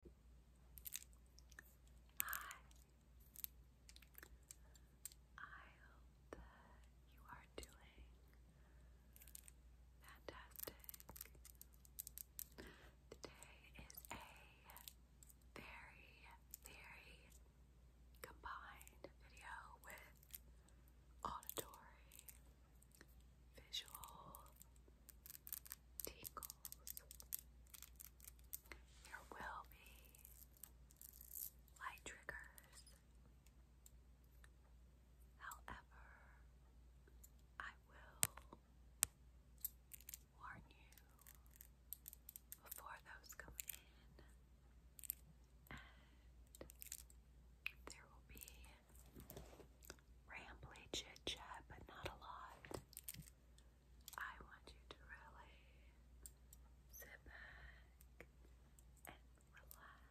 Hi. I hope that you are doing fantastic. Today is a very, very combined video with auditory, visual, tingles. There will be light triggers. However, I will warn you before those come in, and there will be rambly chit chat, but not a lot. I want you to really sit back and relax.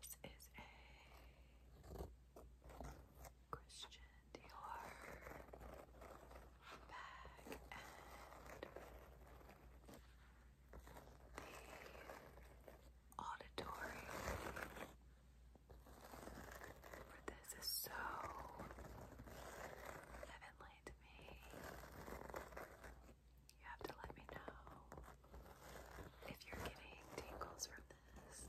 So this is a Christian Dior bag and the auditory for this is so heavenly to me. You have to let me know if you're getting tingles from this.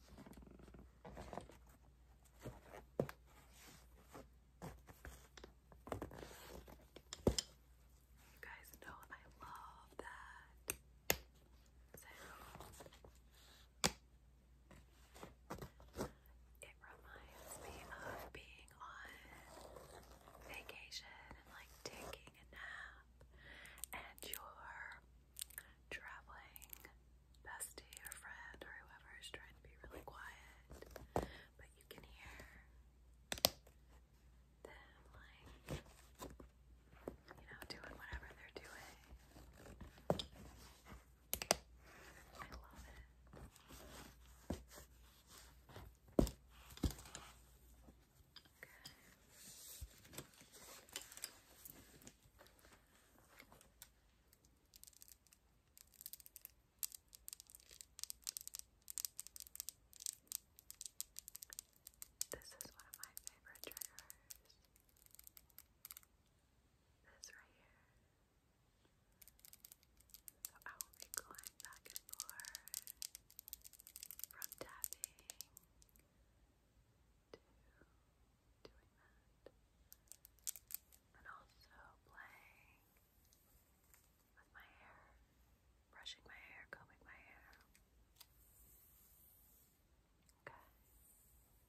You guys know I love that It reminds me of being on vacation and like taking a nap and you're traveling bestie or friend or whoever is trying to be really quiet, but you can hear them like you know doing whatever they're doing. I love it. Okay. This is one of my favorite triggers. This right here. So I will be going back and forth from tapping to doing that. And also playing with my hair, brushing my hair, combing my hair. Okay. So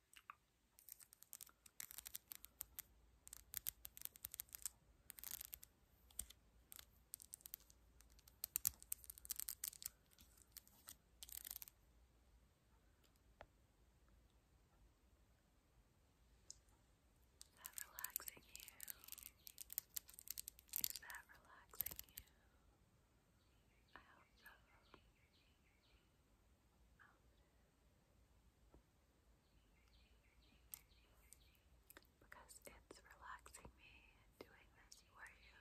Is that relaxing you? Is that relaxing you? I hope so. Because it's relaxing me doing this for you.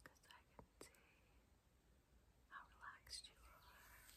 Because I can see how relaxed you are.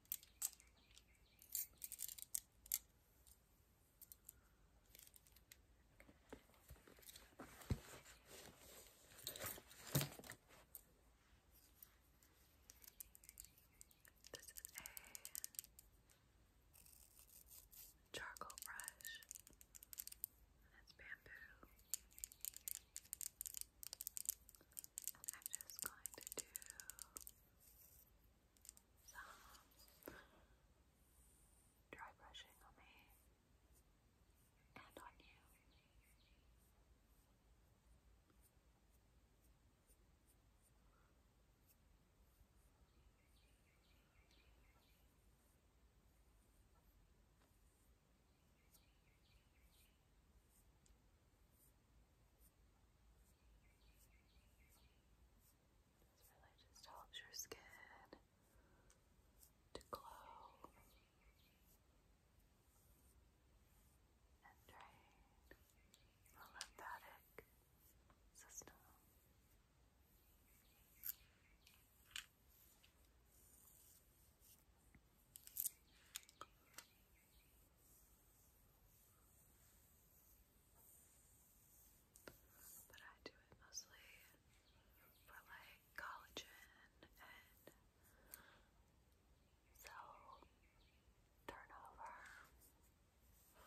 This is a charcoal brush, and it's bamboo. I'm just going to do some dry brushing on me and on you. Just this really just helps your skin to glow and drain the lymphatic system. But I do it mostly for like collagen and cell turnover. I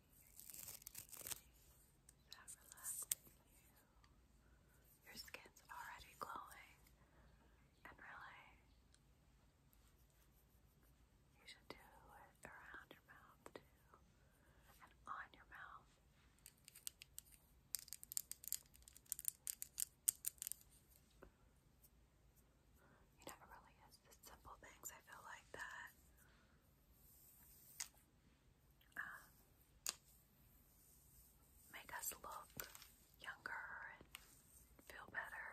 That you. Your skin's already glowing, and really, you should do it around your mouth too, and on your mouth. You know, really is simple things I feel like that um, make us look younger and feel better.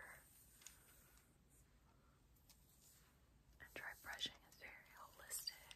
And dry brushing is very holistic.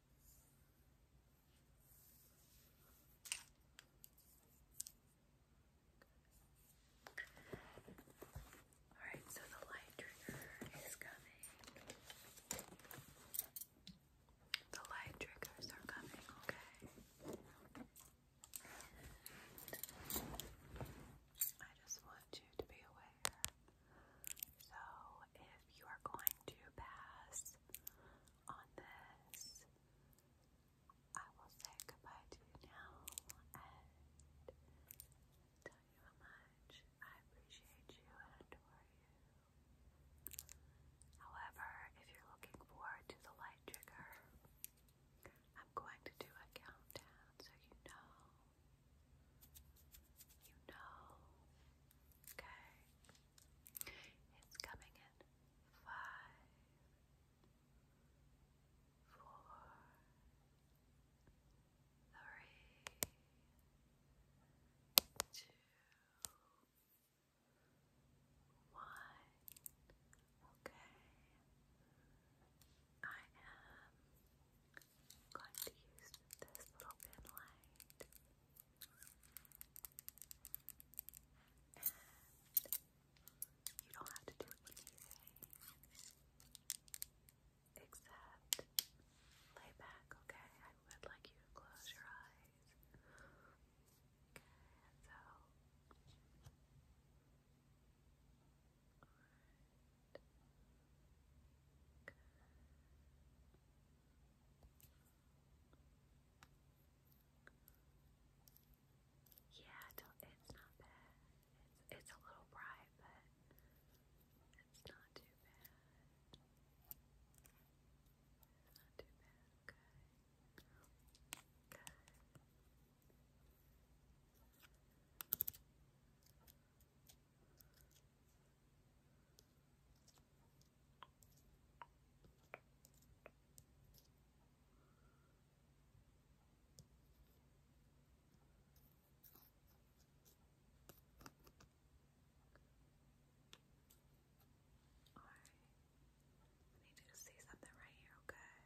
All right, so the light trigger is coming. The light triggers are coming, okay? I just want you to be aware. So, if you are going to pass on this. I will say goodbye to you now and tell you how much I appreciate you and adore you. However, if you're looking forward to the light trigger, I'm going to do a countdown so you know. You know. Okay. It's coming in five, four, three, two, one. Okay, I am going to use this little pin light. And you don't have to do anything except lay back, okay? I would like you to close your eyes. Okay, so. Good. Yeah, do it's not bad. It's, it's a little bright, but it's not too bad. not too bad. Good. Good. Alright. I need you to see something right here, okay? Alright.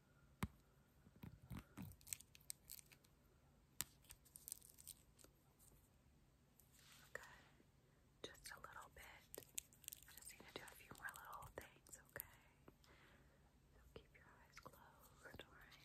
Okay, just a little bit. I just need to do a few more little things, okay? So keep your eyes closed, alright?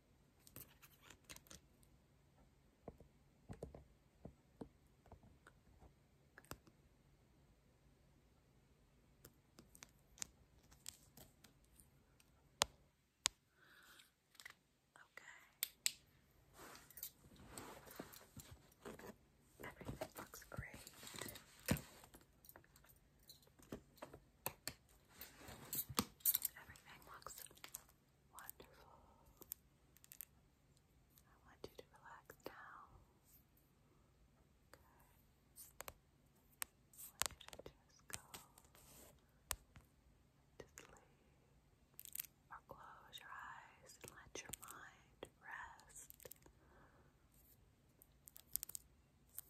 Okay. Everything looks great. Everything looks wonderful. I want you to relax down. Good. I want you just go to sleep or close your eyes and let your mind rest.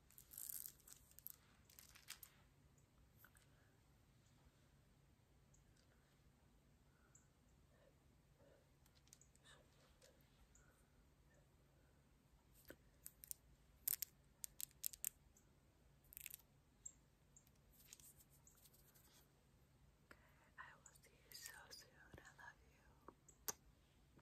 Okay, I will see you so soon. I love you.